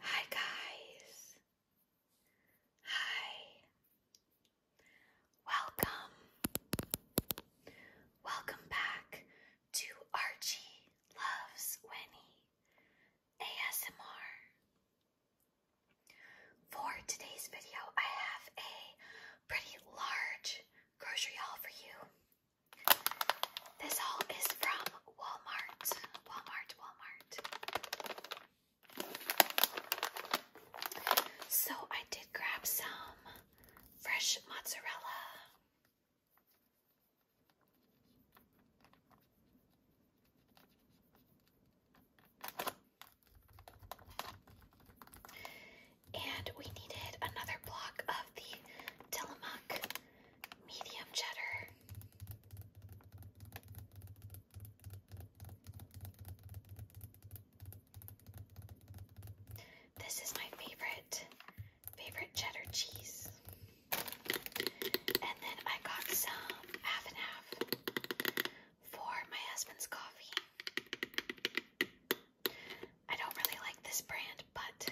Hi, guys. Hi. Welcome. Welcome back to Archie Loves Winnie ASMR. For today's video, I have a pretty large grocery haul for you. This haul is from Walmart. Walmart, Walmart. So I did grab some fresh mozzarella and we needed another block of the Tillamook medium cheddar. This is my favorite, favorite cheddar cheese. And then I got some half and half for my husband's coffee. I don't really like this brand, but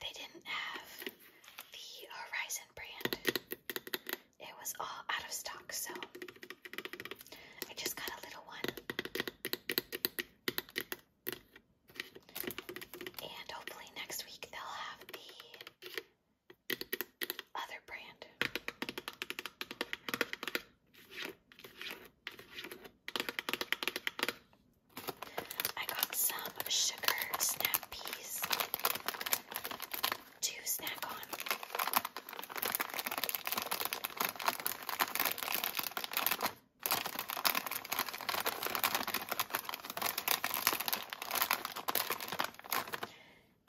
they didn't have the Horizon brand. It was all out of stock, so I just got a little one. And hopefully next week they'll have the other brand. I got some sugar snap peas to snack on.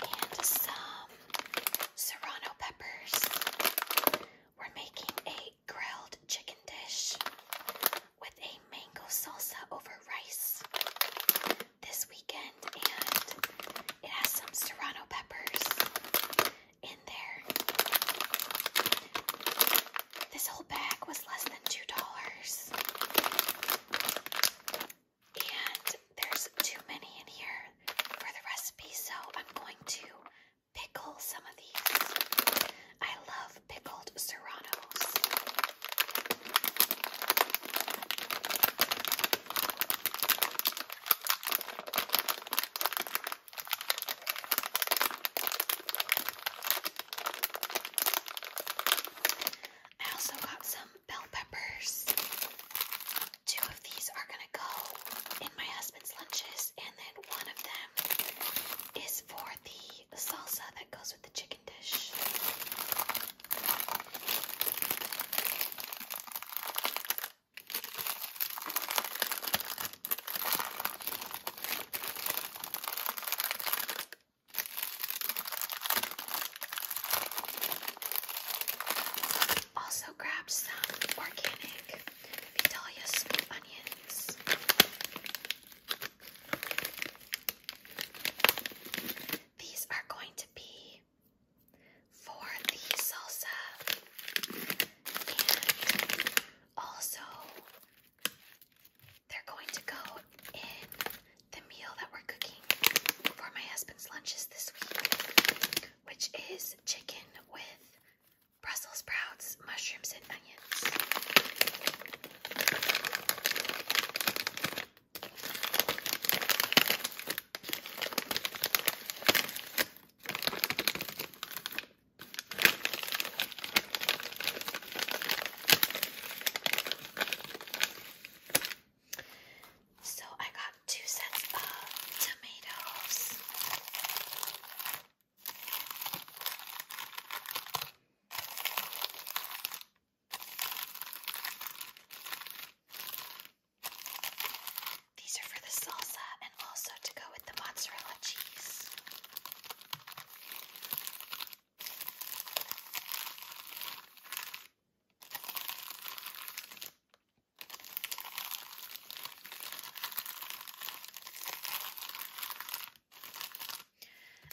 And some serrano peppers. We're making a grilled chicken dish with a mango salsa over rice this weekend, and it has some serrano peppers in there. This whole bag was less than two dollars. And there's too many in here for the recipe, so I'm going to pickle some of these. I love pickled serranos. I also got some bell peppers. Two of these are going to go in my husband's lunches, and then one of them is for the salsa that goes with the chicken dish. Also, grabbed some organic Vidalia smoked onions. These are going to be for the salsa and also they're going to go in the meal that we're cooking for my husband's lunches this week, which is chicken with Brussels sprouts, mushrooms, and onions. So I got two sets of tomatoes. These are for the salsa and also to go with the mozzarella cheese.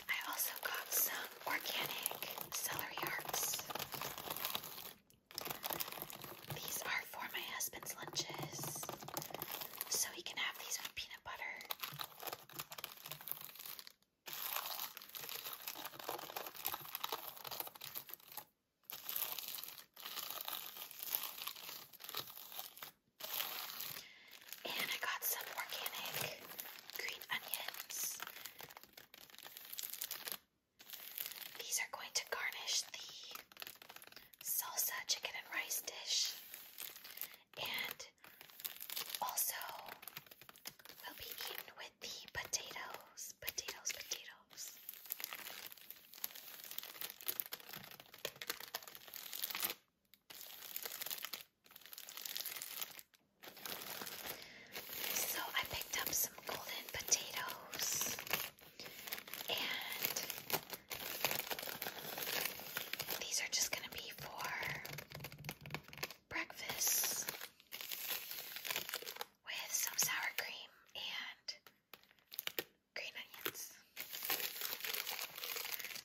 I also got some organic celery hearts. These are for my husband's lunches, so he can have these with peanut butter. And I got some organic green onions. These are going to garnish the salsa chicken and rice dish. And also will be eaten with the potatoes, potatoes, potatoes. So I picked up some golden potatoes and these are just going to be for breakfast with some sour cream and green onions.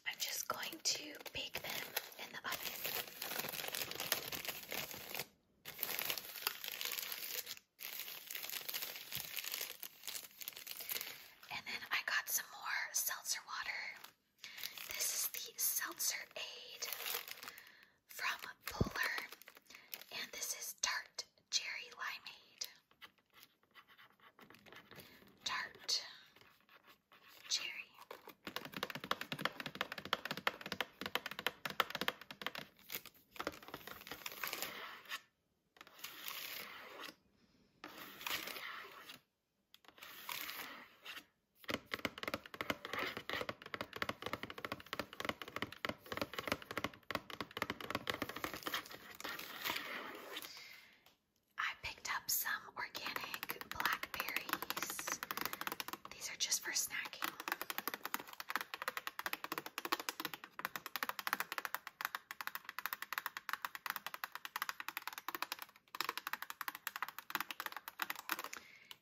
I'm just going to bake them in the oven. And then I got some more seltzer water. This is the Seltzer Aid from Polar, and this is tart Tart Cherry Limeade. Tart Cherry. I picked up some organic blackberries. These are just for snacking.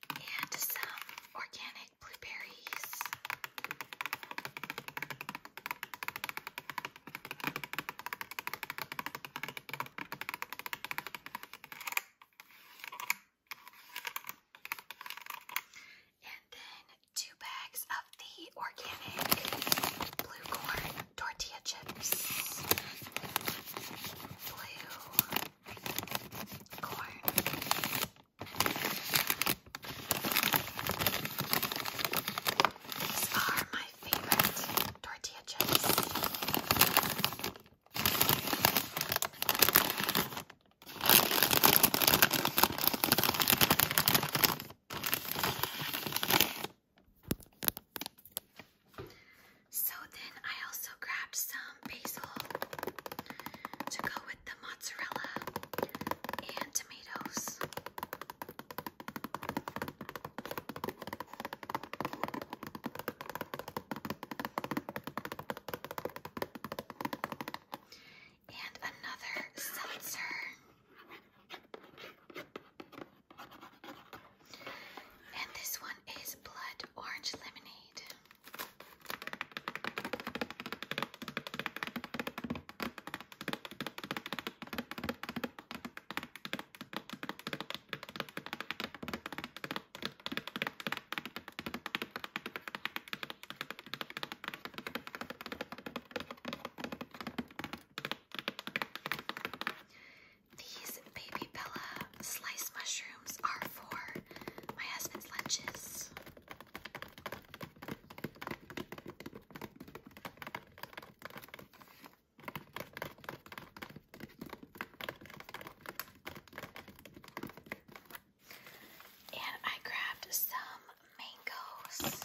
And some organic blueberries. And then two bags of the organic blue corn tortilla chips. Blue corn these are my favorite tortilla chips. So then I also grabbed some basil to go the mozzarella and tomatoes. And another seltzer. And this one is blood orange lemonade. These baby Bella sliced mushrooms are for my husband's lunches. And I grabbed some mangoes.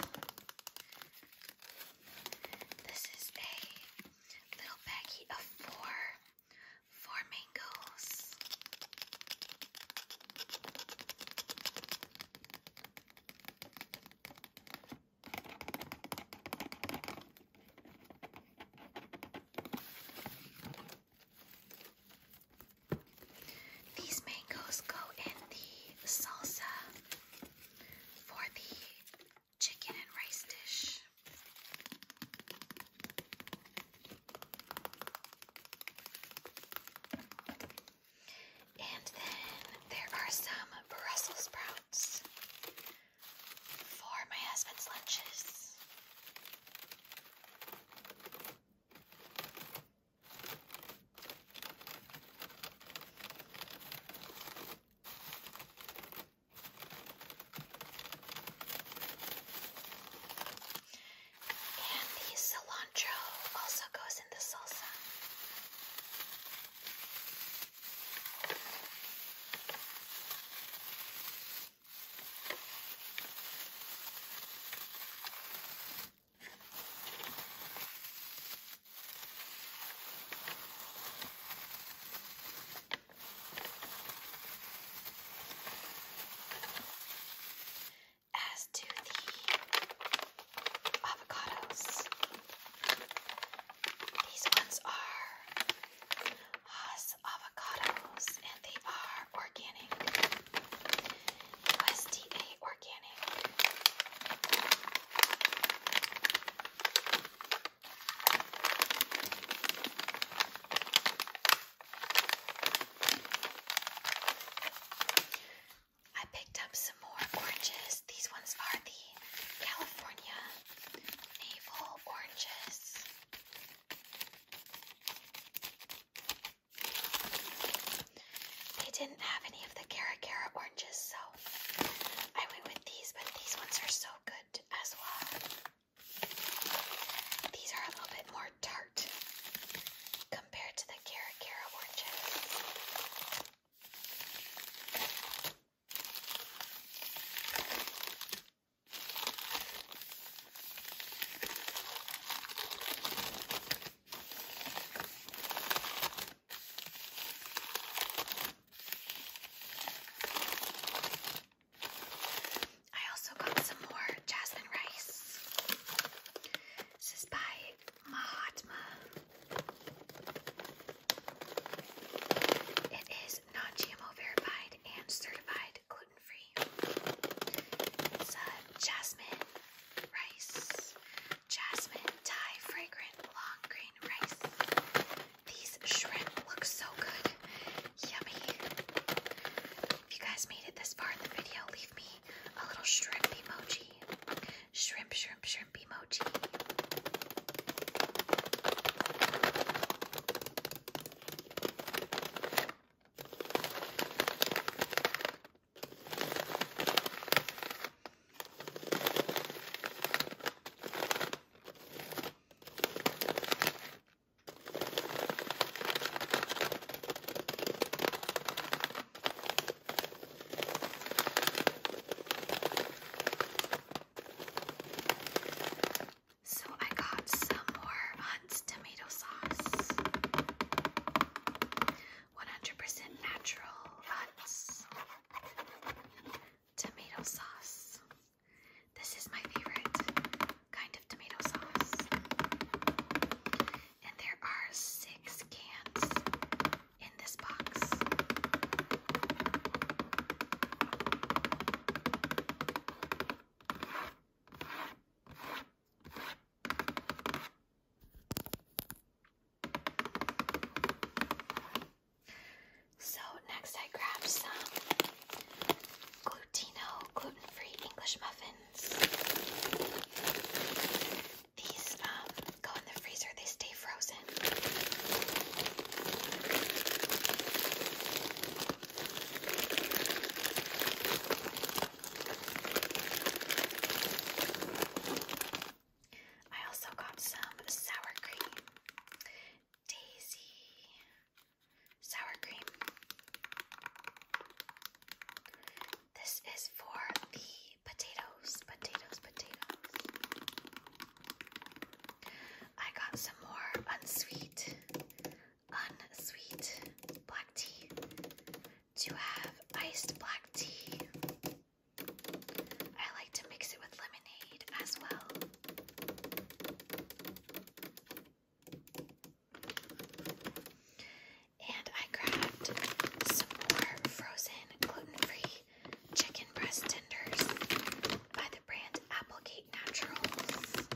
This is a little baggie of four, four mangoes. These mangoes go in the salsa for the chicken and rice dish. And then there are some Brussels sprouts for my husband's lunches. And the cilantro also goes in the salsa. As to the avocados, these ones are Haas avocados and they are organic. USDA organic. I picked up some more oranges. These ones are the California navel oranges. They didn't have any of the Cara Cara oranges, so I went with these, but these ones are so good as well. These are a little bit more tart compared to the Cara Cara oranges. I also got some more jasmine rice. This is by Mahatma. It is non GMO verified and certified gluten free. It's a jasmine rice, jasmine Thai fragrant long grain rice. These shrimp look so good. Yummy. If you guys made it this far in the video, leave me a little shrimp emoji. Shrimp, shrimp, shrimp emoji. So I got some more Hunt's tomato sauce. 100% natural Hunt's tomato sauce. This is my favorite kind of tomato sauce. And there are six cans in this box. So next I grabbed some Glutino gluten-free English muffin these um, go in the freezer, they stay frozen. I also got some sour cream, daisy, sour cream. This is for the potatoes, potatoes, potatoes. I got some more unsweet, unsweet black tea to have iced black tea. I like to mix it with lemonade as well. And I grabbed some more frozen gluten-free chicken breast tenders by the brand Applegate Naturals.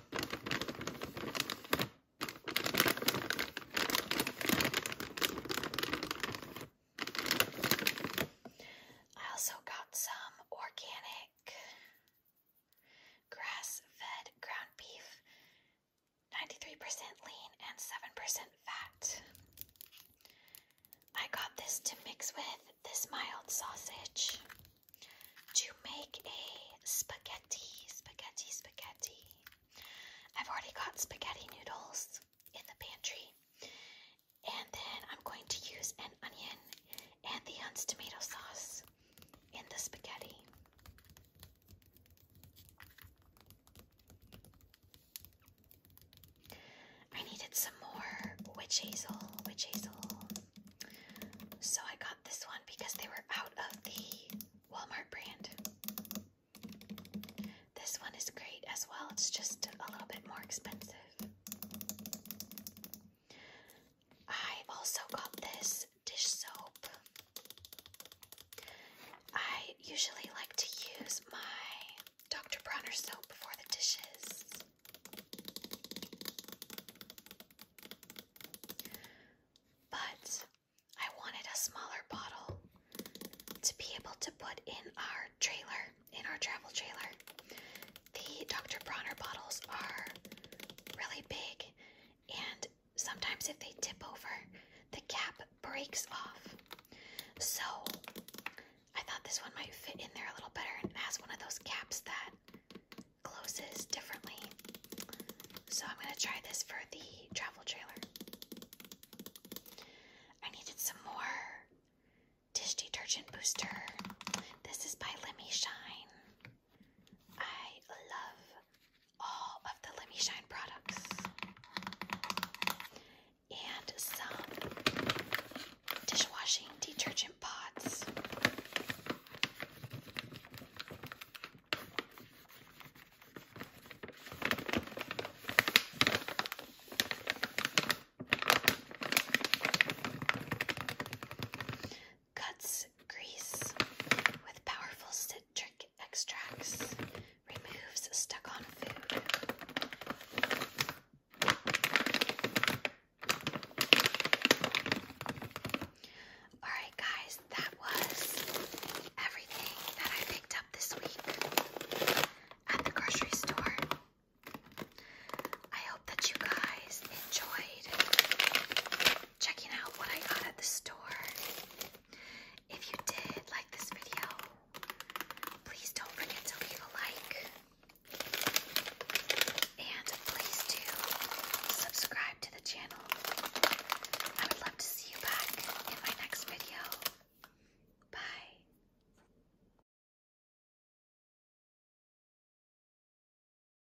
I also got some organic Grass fed ground beef, 93% lean and 7% fat. I got this to mix with this mild sausage to make a spaghetti, spaghetti, spaghetti. I've already got spaghetti noodles in the pantry. And then I'm going to use an onion and the Hunt's tomato sauce in the spaghetti. I needed some more witch hazel, witch hazel. So I got this one because they were out of the Walmart brand. This one is great as well, it's just a little bit more expensive. I also got this dish soap. I usually like to use my Dr. Bronner soap for the dishes. But I wanted a smaller bottle to be able to put in our trailer, in our travel trailer. The Dr. Bronner bottles are really big and sometimes if they tip over, the cap breaks off. So I thought this one might fit in there a little better and has one of those caps that closes differently. So I'm going to try this for the travel trailer. I needed some more dish detergent booster. This is by Lemmy Shine. I love all of the Let Me Shine products. And some dishwashing detergent pods. Cuts grease with powerful citric extracts. Removes stuck on food. Alright, guys, that was everything that I picked up this week at the grocery store. I hope that you guys enjoyed checking out what I got at the store. If you did like this video, please don't forget to leave a like. And please do subscribe to the channel. I would love to see you back in my next video. Bye.